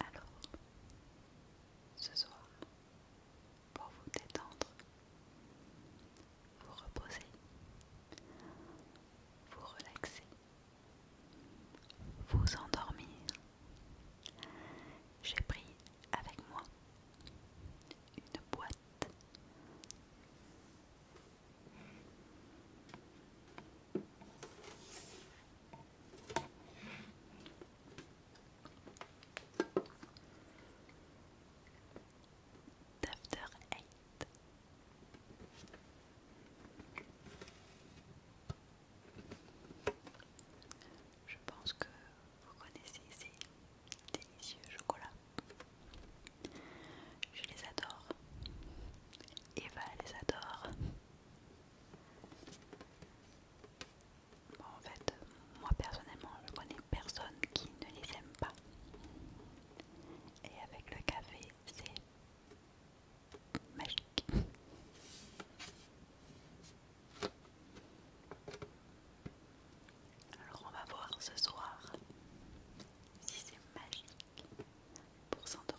Alors, ce soir, pour vous détendre, vous reposer, vous relaxer, vous endormir, j'ai pris avec moi une boîte d'After Eight. Je pense que vous connaissez ces délicieux chocolats. Je les adore. Eva les adore. Bon, en fait, moi personnellement, je connais personne qui ne les aime pas. Et avec le café, c'est magique. Alors on va voir ce soir si c'est magique pour s'endormir.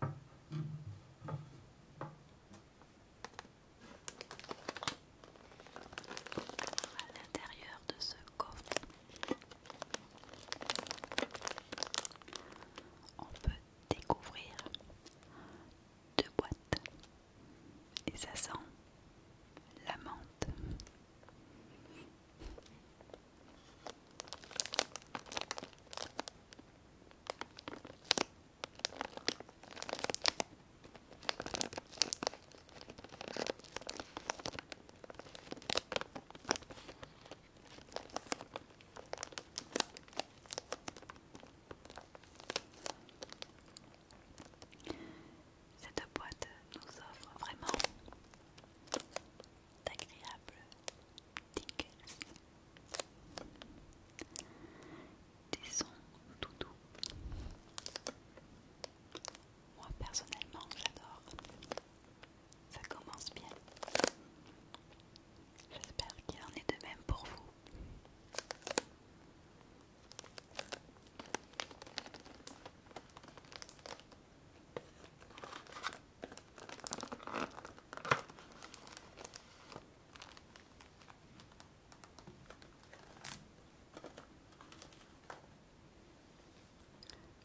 À l'intérieur de ce coffre, on peut découvrir deux boîtes et ça sent la menthe. Cette boîte nous offre vraiment d'agréables tickles, des sons tout doux. Moi personnellement, j'adore. Ça commence bien. J'espère qu'il en est de même pour vous.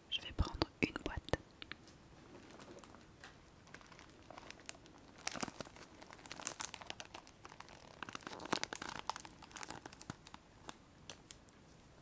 Je vais prendre une boîte.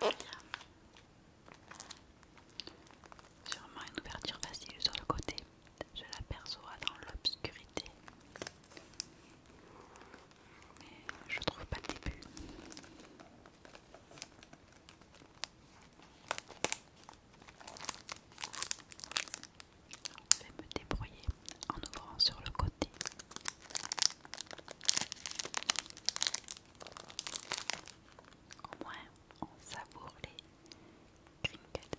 Alors, sûrement une ouverture facile sur le côté. Je l'aperçois dans l'obscurité. Mais je trouve pas le début. Je vais me débrouiller en ouvrant sur le côté. Au moins, on savoure les crinkles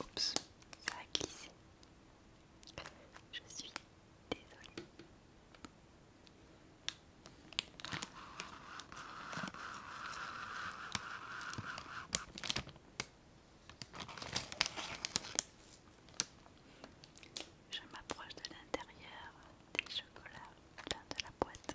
Oups, ça a glissé. Je suis désolée. Je m'approche de l'intérieur des chocolats de la boîte.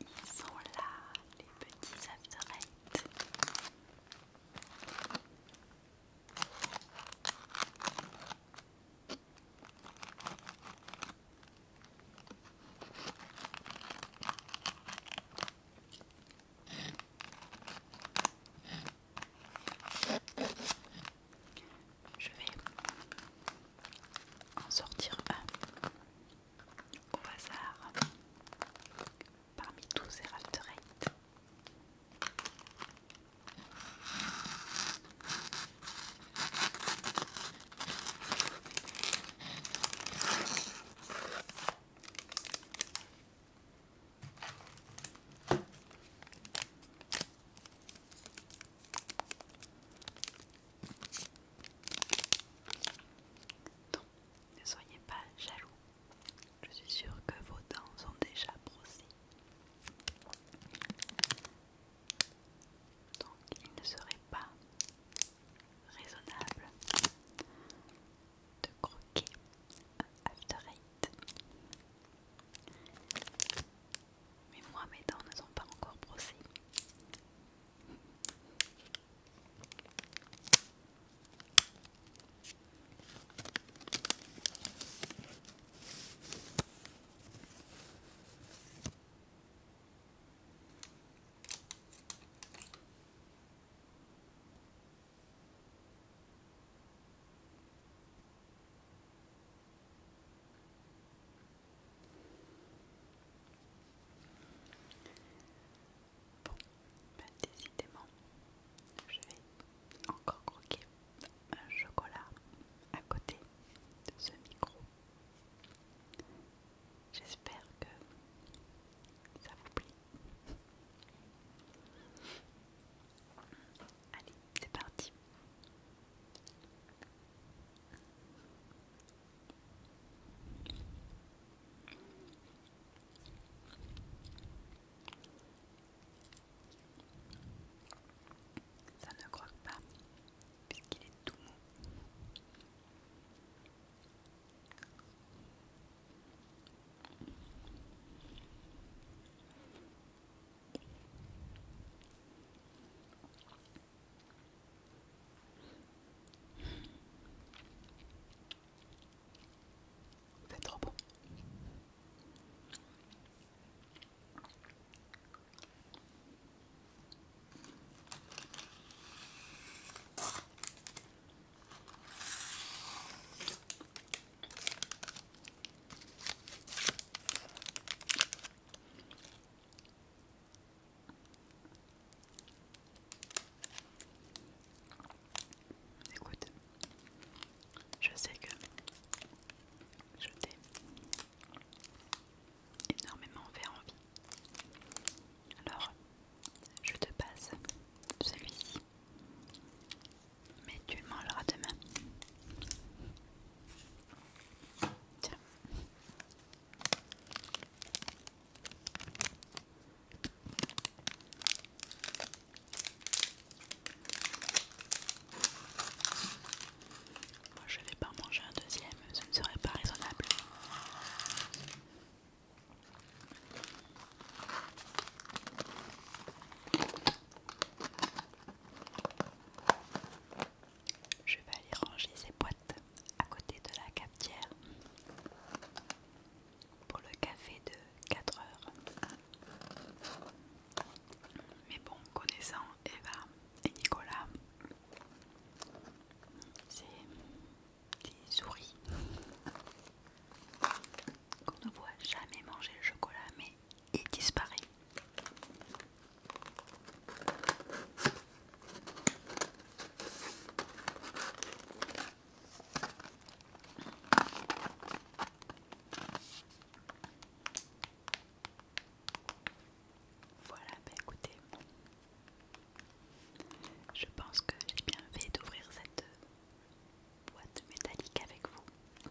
Ils sont là, les petits after je vais en sortir un au hasard parmi tous ces After donc, ne soyez pas jaloux. Je suis sûre que vos dents sont déjà brossées. Donc, il ne serait pas raisonnable de croquer un after eight. Mais moi, mes dents ne sont pas encore brossées. Bon, bah, décidément, je vais encore croquer un chocolat à côté de ce micro. J'espère que ça vous plaît. Allez, c'est parti. Ça ne croque pas puisqu'il est tout mou. C'est trop bon. Écoute, je sais que je t'ai énormément fait envie. Alors, je te passe celui-ci. Mais tu le mangeras demain. Tiens. Moi je vais pas manger un deuxième, ce ne serait pas raisonnable. Je vais aller ranger ces boîtes à côté de la cafetière pour le café de 4 heures. Mais bon, connaissant Eva et Nicolas, c'est des souris qu'on ne voit jamais manger le chocolat, mais et disparaît. Voilà, bah écoutez, je pense que j'ai bien fait d'ouvrir cette boîte métallique avec vous.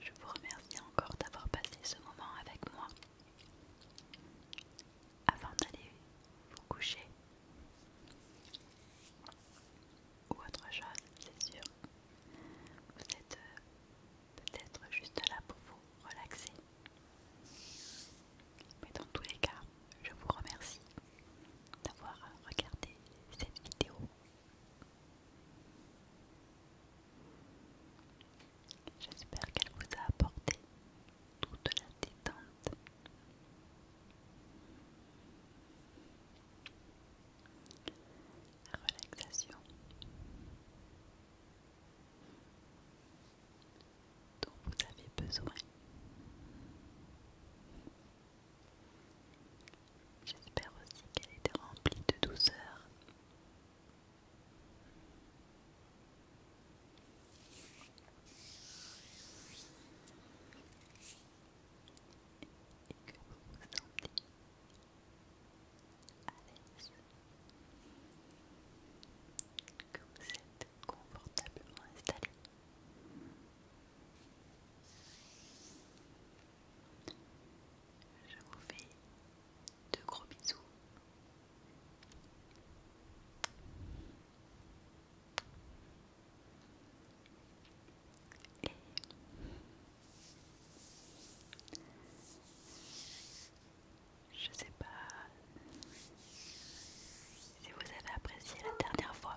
Je vous remercie encore d'avoir passé ce moment avec moi. Avant d'aller vous coucher ou autre chose, c'est sûr, vous êtes euh, peut-être juste là pour vous relaxer. Mais dans tous les cas, je vous remercie d'avoir regardé cette vidéo. J'espère qu'elle vous a apporté toute la détente. La relaxation dont vous avez besoin. J'espère aussi qu'elle était remplie de douceur. Allez, l'aise, que vous êtes confortablement installé. Je vous fais de gros bisous. Je sais pas si vous avez apprécié la dernière fois.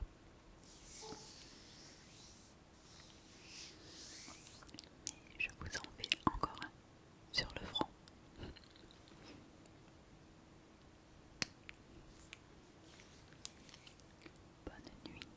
Mais je vous en fais encore un sur le front. Bonne nuit.